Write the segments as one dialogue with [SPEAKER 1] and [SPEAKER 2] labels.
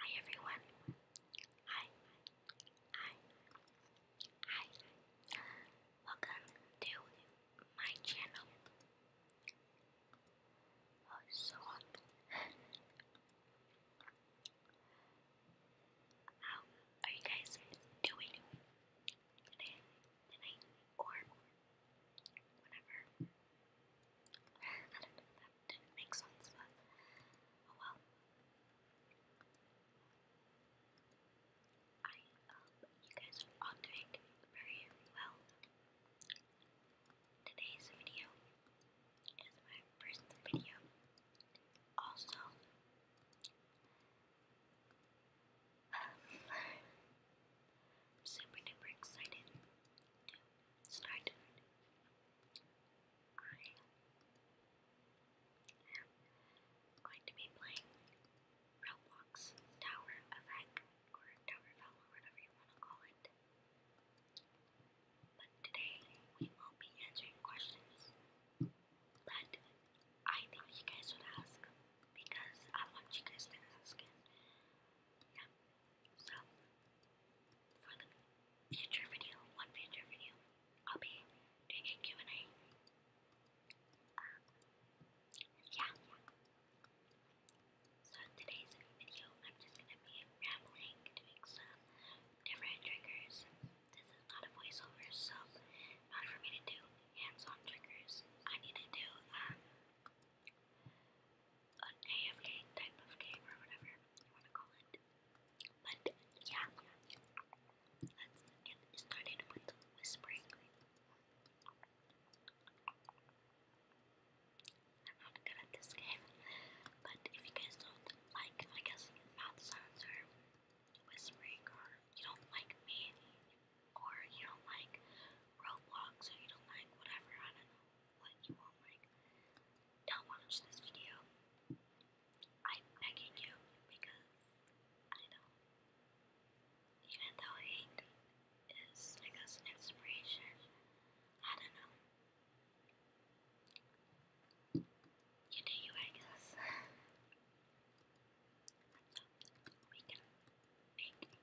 [SPEAKER 1] Hi everyone. Hi. Hi. Hi. Welcome to my channel. Oh, so How are you guys doing today, tonight, or whenever? didn't make sense, but oh well. I hope um, you guys are all doing very well. Today's video is my first video. Also, I'm super duper excited to I am going to be playing Roblox Tower of Heck, or Tower Fell, or whatever you want to call it. But today, we will be answering questions that I think you guys would ask, because I want you guys to ask Yeah. So, for the future video, one future video, I'll be doing Q&A. yeah, So today's video, I'm just gonna be rambling, doing some different triggers. This is not a voiceover, so in for me to do hands-on triggers, I need to do an AFK type of game or whatever you want to call it. But yeah, let's get started with whispering. I'm not good at this game, but if you guys don't like, I guess, mouth sounds or whispering, or you don't like me, or you don't like Roblox, or you don't like whatever, I don't know like you won't like, don't watch this video, I'm begging you because I know, even though hate is like an inspiration, I don't know. You do you, I we can make it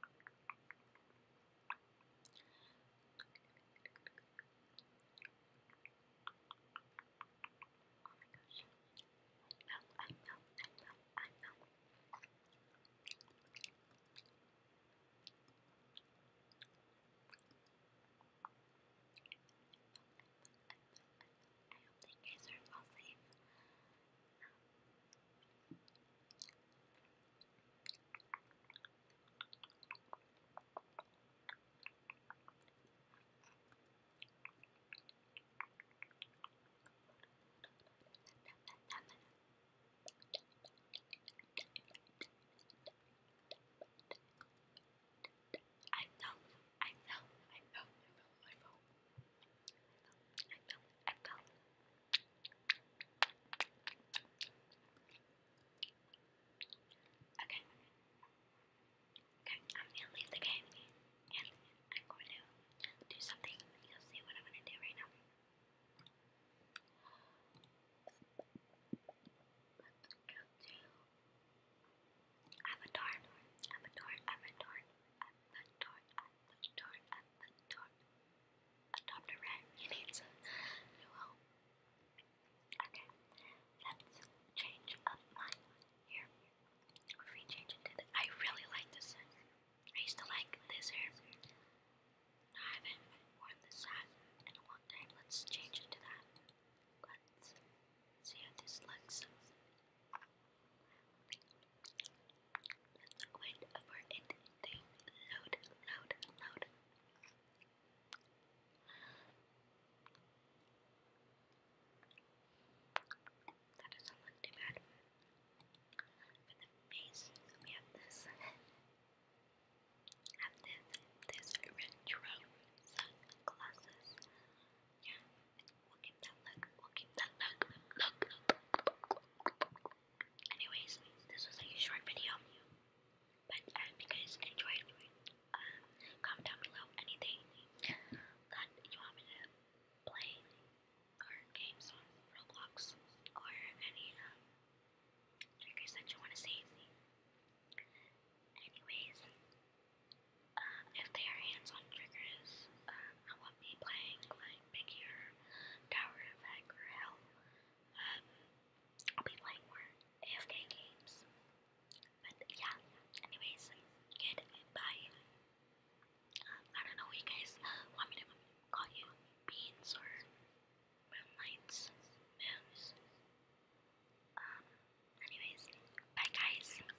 [SPEAKER 1] gosh. I know, I know, I know, I know. I hope you guys are all safe. I know, I know, I know, I know, I know. I Okay. Okay, I'm gonna leave the game and I'm going to do something. You'll see what I'm gonna do right now. Let's go to Avatar, Avatar, Avatar, Avatar the door, at the door. Adopt a new home. Okay, let's change up mine here. If we change it to I really like this hair. I used to like this hair. I haven't worn this hat in a long time. Let's change it that. Let's see how this looks. Wait for it to load, load, load. That doesn't look too bad. With the face, we have this. have this, this retro sunglasses. Yeah, we Anyways, this was like a short video, but uh, I hope you guys enjoyed. Um, comment down below anything that you want me to play or games on Roblox or any um, triggers that you want to see. Anyways, uh, if they are hands-on triggers, um, I want not be playing like Biggie or Tower of Heck or Hell. Um, I'll be playing more AFK games. But yeah, anyways, goodbye. Um, I don't know you guys want me to call you, beans or moonlights, moons. Um, anyways, bye guys.